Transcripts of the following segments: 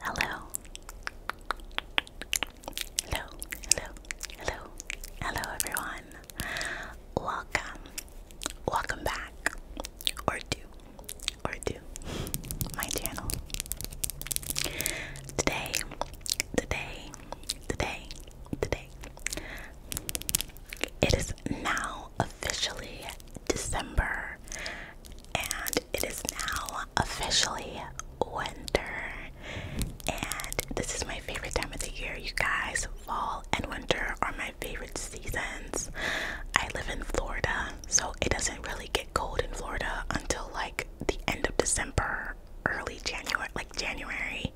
Hello. Hello, hello, hello, hello everyone. Welcome. Welcome back. Or do. Or do. My channel. Today, today, today, today. It is now officially December, and it is now officially winter. And this is my favorite time of the year, you guys. Fall and winter are my favorite seasons. I live in Florida, so it doesn't really get cold in Florida until like the end of December, early January, like January,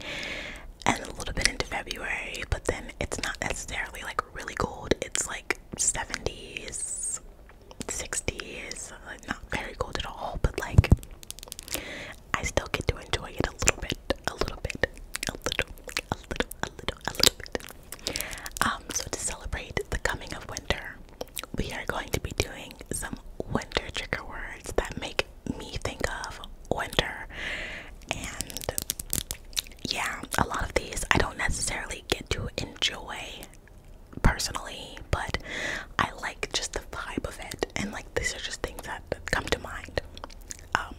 and a little bit into February, but then it's not necessarily like really cold. It's like 70s, 60s, like not very cold at all, but like I still get to enjoy it a little bit, a little bit, a little, a little, a little, a little bit. Um, so to celebrate the coming of winter, we are going to be doing some winter trigger words that make me think of winter. And yeah, a lot of these I don't necessarily get to enjoy personally, but I like just the vibe of it, and like these are just things that, come to mind. Um,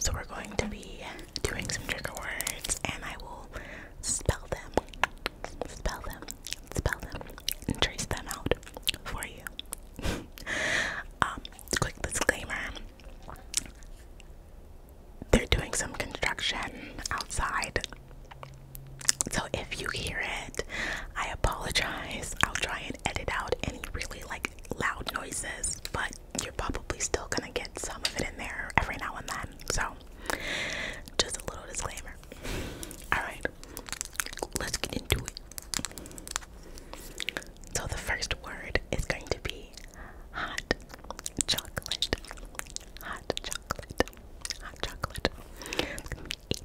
so we're going to be doing some trigger words, and I will spell them, spell them, spell them, and trace them out for you. Um, quick disclaimer they're doing some construction outside. So if you hear it, I apologize. I'll try and edit out any really like loud noises, but you're probably still gonna get some of it in there every now and then. So just a little disclaimer. Alright, let's get into it. So the first word is going to be hot chocolate hot chocolate, hot chocolate. It's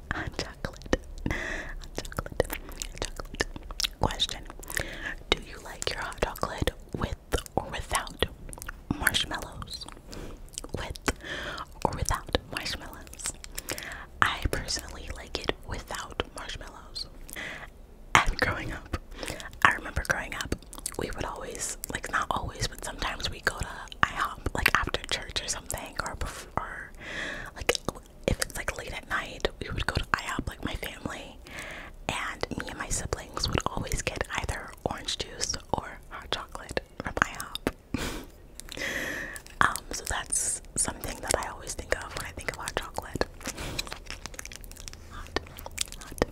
on chocolate. On chocolate. Chocolate. Question. Do you like your hot chocolate with or without marshmallows? With or without marshmallows? I personally like it without marshmallows. And growing up, I remember growing up, we would always, like not always, but sometimes we go to IHOP, like after church or something, or before, like if it's like late at night, we would go to IHOP, like my family, and me and my siblings would always get either orange juice or hot chocolate from IHOP. um, so that's something that I always think of when I think of hot chocolate. Hot, hot,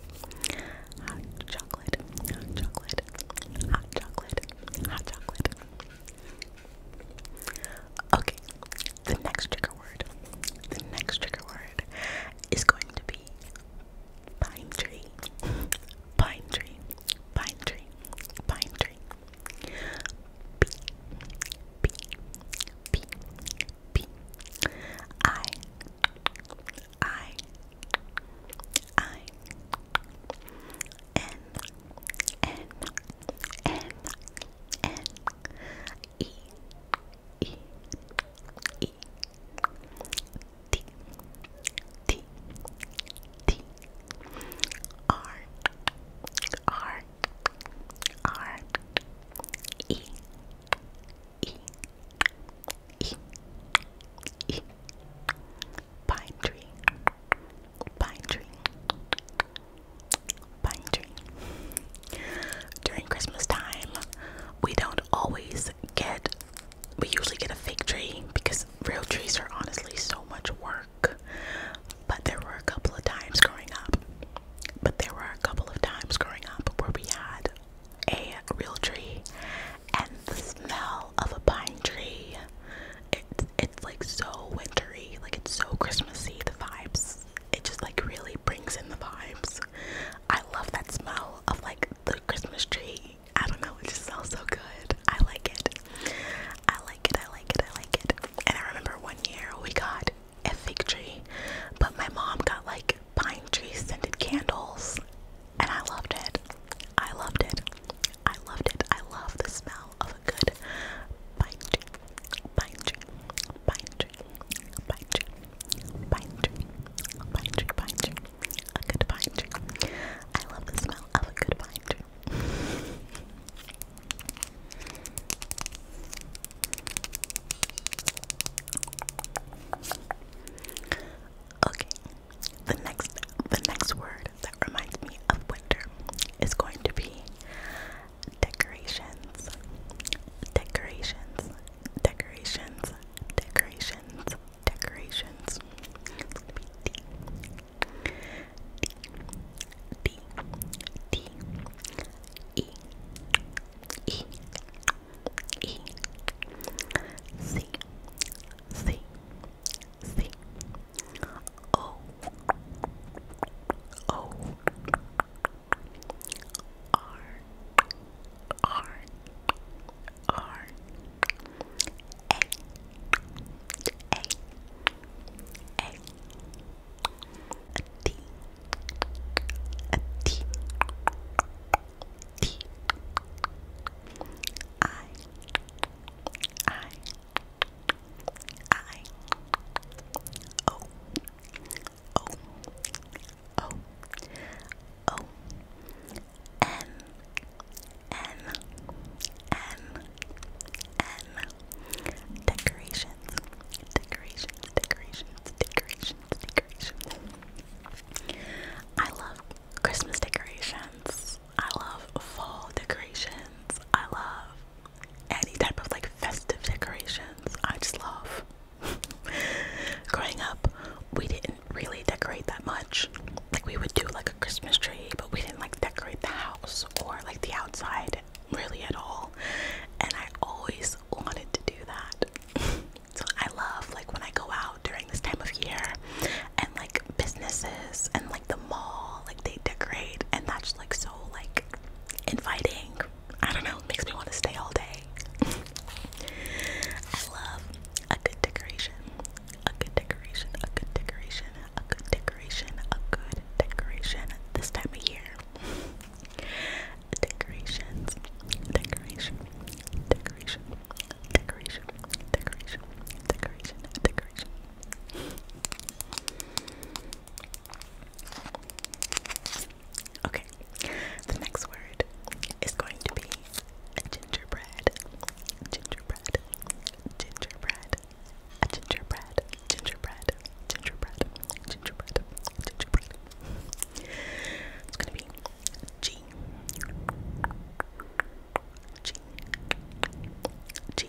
hot chocolate, hot chocolate, hot chocolate, hot chocolate. Okay, the next trigger word, the next trigger word is going to be pine tree, pine tree, pine tree, pine tree. P, P, P, P. I, I, I. N, N, N, N E E E T T T R R R E E E E Pine tree Pine tree. Pine tree. During Christmas time, we don't always get, we usually get a fake tree because real trees are honestly so much work. But there were a couple of times growing up, but there were a couple of times growing up where we had a real tree and the smell of a pine tree. It, it's like so wintry, like it's so Christmassy. The vibes, it just like really brings in the vibes. I love that smell of like the Christmas tree. I don't know, it just smells so good. I like it. I like it. I like it. I like it. And I remember one year we got a fig tree, but my mom got like pine tree scented candles, and I loved it. I loved it. I loved it. I love the smell of a good pine tree pine tree, pine tree, pine tree, a good pine I love the smell of a good pine Okay, the next the next word that reminds me of winter is going to be decorations, decorations, decorations, decorations, decorations. D, D, D, E, E, E, C, C, C, O O R R R A A A a T a T T I I I O O O O M M M M decorations decorations decorations decorations decorations I love Christmas decorations I love fall decorations I love any type of like festive decorations. I just love. Growing up, we didn't really decorate that much. Like we would do like a Christmas tree, but we didn't like decorate the house or like the outside really at all. And I always wanted to do that. so I love like when I go out during this time of year and like businesses and like the mall, like they decorate, and that's like so like inviting. I don't know, it makes me want to stay all day. I love a good decoration, a good decoration, a good decoration, a good decoration, a good decoration this time of year. Decorations, decoration, decoration, decoration, decoration, decoration, decoration. Okay, the next word is going to be a gingerbread. Gingerbread. Gingerbread. A gingerbread. Gingerbread. Gingerbread. Gingerbread. Gingerbread. It's gonna be G. G. G.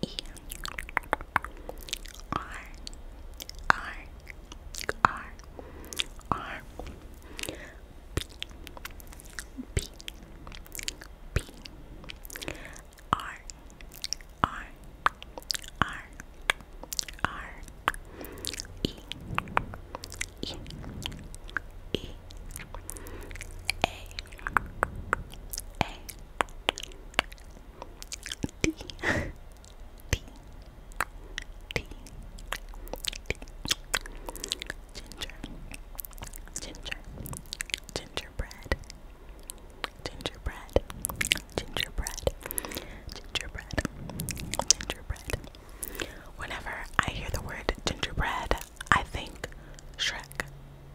E R R R R B B B R R R R E E E A A A D. D. D. Ginger. Ginger. Gingerbread. Gingerbread. Gingerbread. Gingerbread. Gingerbread. Whenever I hear the word gingerbread, I think Shrek.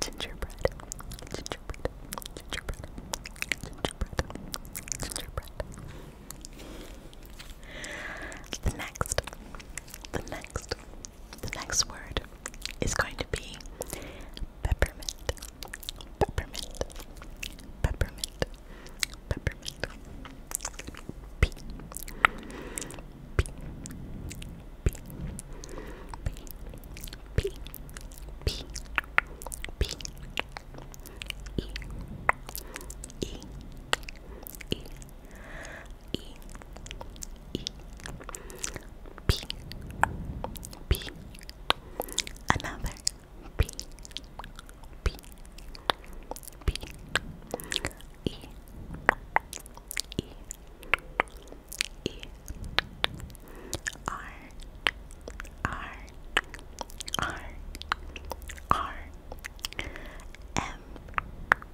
gingerbread, gingerbread, gingerbread, gingerbread, gingerbread. The next, the next, the next word is going to be peppermint, peppermint, peppermint, peppermint. P, P, P, P, P, E, E, E, E, E, P, P, another P, P, P, E, E, E, E R R R R M M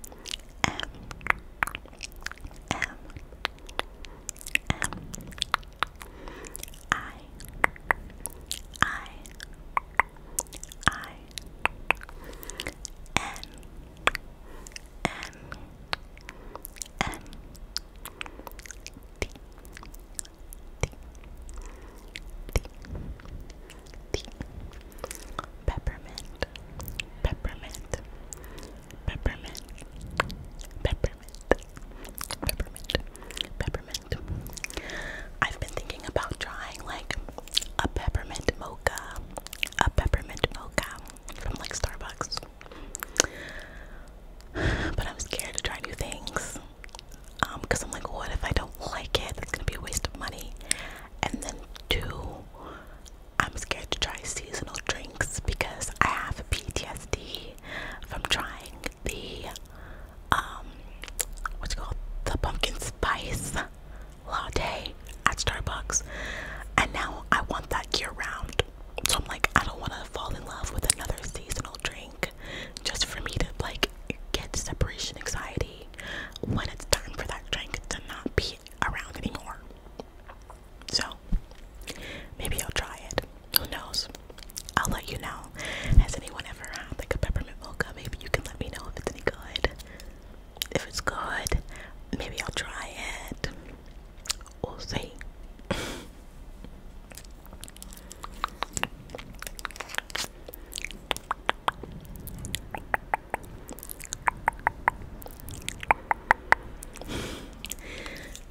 M M I I I N N N D D D D Peppermint Peppermint Peppermint Peppermint Peppermint Peppermint I've been thinking about trying like a peppermint mocha a peppermint mocha from like Starbucks. But I'm scared to try new things um, because I'm like, what if I don't like it? That's gonna be a waste of money. And then two, I'm scared to try seasonal drinks because I have PTSD from trying the um, what's called the pumpkin spice latte at Starbucks, and now I want that year round so I'm like, I don't want to fall in love with another seasonal drink just for me to like get separation anxiety when it's time for that drink to not be around anymore. So maybe I'll try it. Who knows? I'll let you know. Has anyone ever had like a peppermint mocha? Maybe you can let me know if it's any good. If it's good, maybe I'll try it we'll see.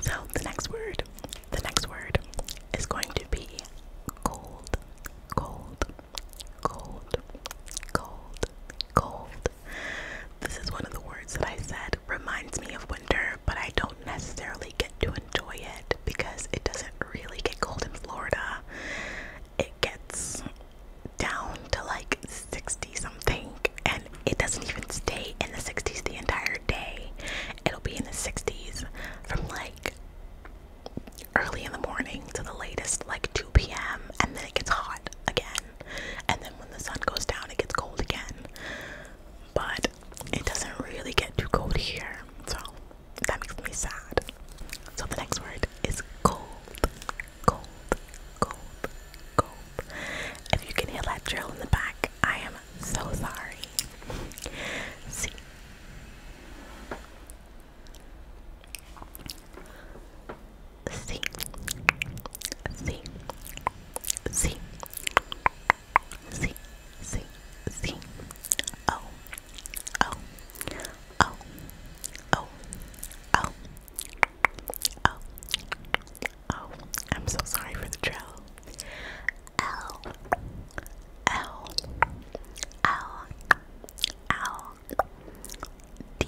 so the next word, the next word is going to be cold, cold, cold, cold, cold, this is one of the words that I said reminds me of winter, but I don't necessarily get to enjoy it because it doesn't really get cold in Florida. It gets down to like 60 something, and it doesn't even stay in the 60s the entire day. It'll be in the 60s from like early in the morning to the latest like 2 p.m., and then it gets hot again and then when the sun goes down it gets cold again but it doesn't really get too cold here so that makes me sad so the next word is cold cold cold cold if you can hear that drill in the back i am so sorry see C C C C C C O O O O O O Oh, I'm so sorry for the trail. L L L L D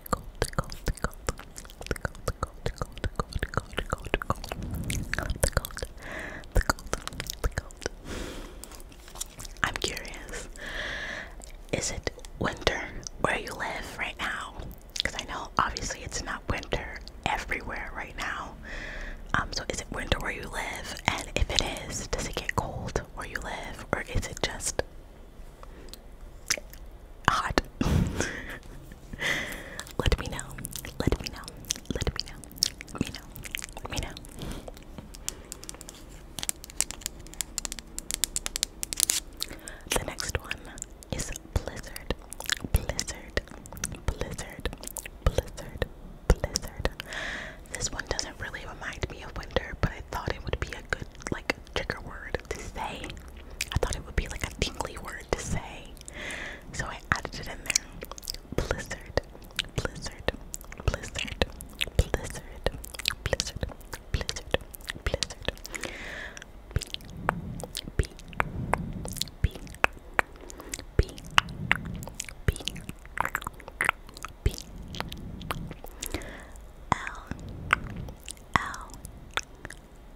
gold, gold, gold, gold, gold, gold, gold, gold, gold, gold. I love the gold, the I'm curious, is it winter where you live right now? Because I know obviously it's not winter everywhere right now. Um, so is it winter where you live? And if it is, does it get cold where you live, or is it just hot. let me know. Let me know. Let me know. Let me know. Let me know. The next one is blizzard. Blizzard. Blizzard. Blizzard. Blizzard. This one doesn't really remind me of winter, but I thought it would be a good like trigger word to say. I thought it would be like a tingly word to say. So I added it in there. Blizzard, blizzard, blizzard, blizzard, blizzard, blizzard, blizzard. B, B, B, B, B, B. L, L,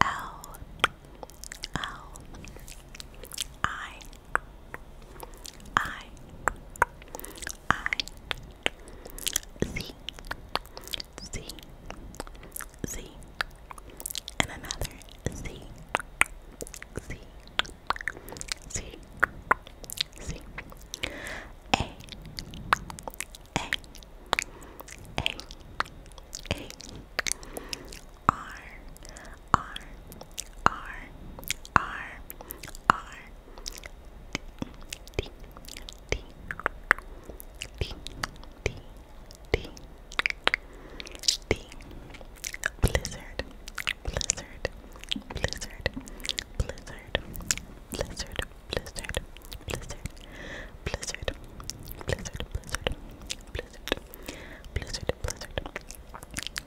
L L I I I Z Z Z and another Z Z Z Z A a A A R R R R R D D D D D D Blizzard Blizzard Blizzard Blizzard Blizzard blizzard, blizzard, blizzard, blizzard, blizzard, blizzard, blizzard, blizzard, blizzard.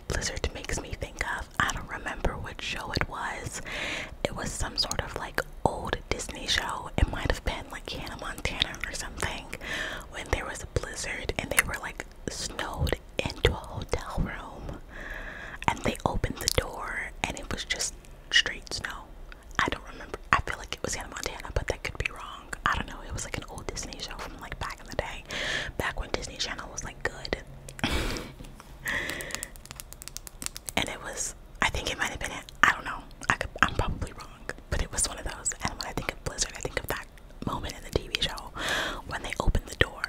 Blizzard makes me think of I don't remember which show it was. It was some sort of like old Disney show. It might have been like Hannah Montana or something. When there was a blizzard and they were like snowed into a hotel room and they opened the door and it was just straight snow. I don't remember. I feel like it was Hannah Montana, but that could be wrong. I don't know. It was like an old Disney show from like back in the day, back when Disney Channel was like good. and it was, I think it might have been it. I don't know. I could, I'm probably wrong, but it was one of those. And when I think of Blizzard, I think of that moment in the TV show when they opened the door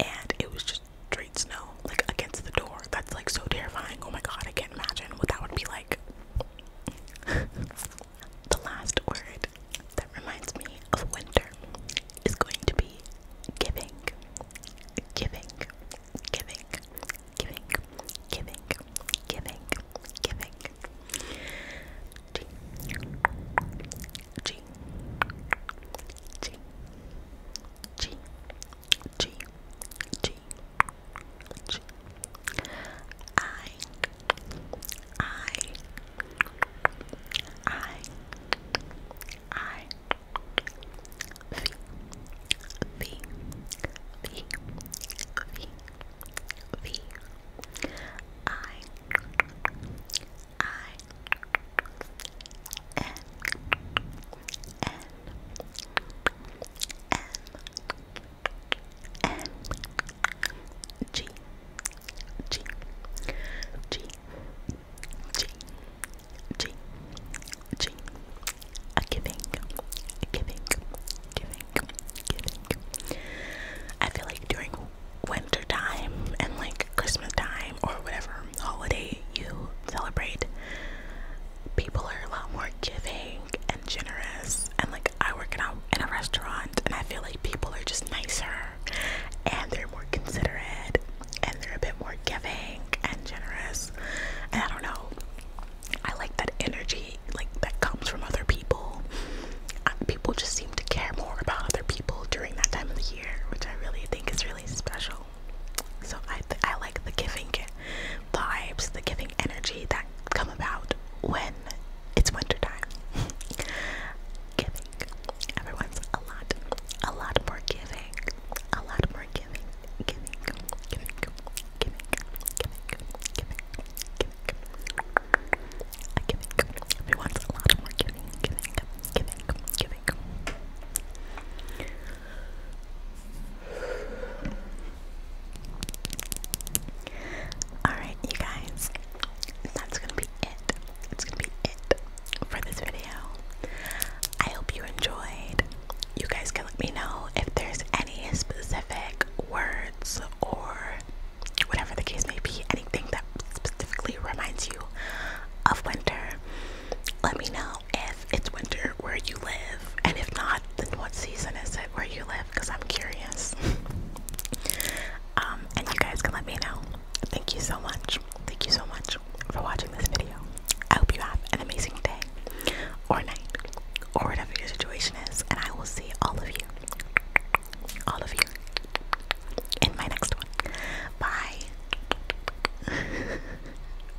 and it was just straight snow like against the door. That's like so terrifying. Oh my god, I can't imagine what that would be like. the last word that reminds me of winter is going to be giving. Giving, giving, giving, giving, giving, giving. G. G. G. G. G. G. G I I I I V V V V V I I N N M M G G G G G G a giving, a giving, giving, giving. I feel like during winter time and like Christmas time or whatever holiday you celebrate, people are a lot more giving and generous. And like I work in in a restaurant, and I feel like people are just nicer, and they're more considerate, and they're a bit more giving and generous. And I don't know, I like that energy like that comes from other people. Uh, people just seem to care more about other people during that time of the year, which I really think is really special. So I I like the giving vibes, the giving energy that come about when it's winter time. giving. Everyone's a lot, a lot more giving, a lot more giving, giving, giving, giving, giving, giving, giving, a giving. Everyone's a lot more giving, giving, giving, giving. Alright, you guys, that's gonna be it. It's gonna be it for this video. I hope you enjoyed. You guys can let me know if there's any specific words or whatever the case may be, anything that specifically reminds you of winter. Let me know if it's winter where you live, and if not, then what season is it where you live? Because I'm curious. Um, and you guys can let me know. Thank you so much. Thank you so much for watching this video. I hope you have an amazing day or night or whatever your situation is, and I will see all of you, all of you, in my next one. Bye.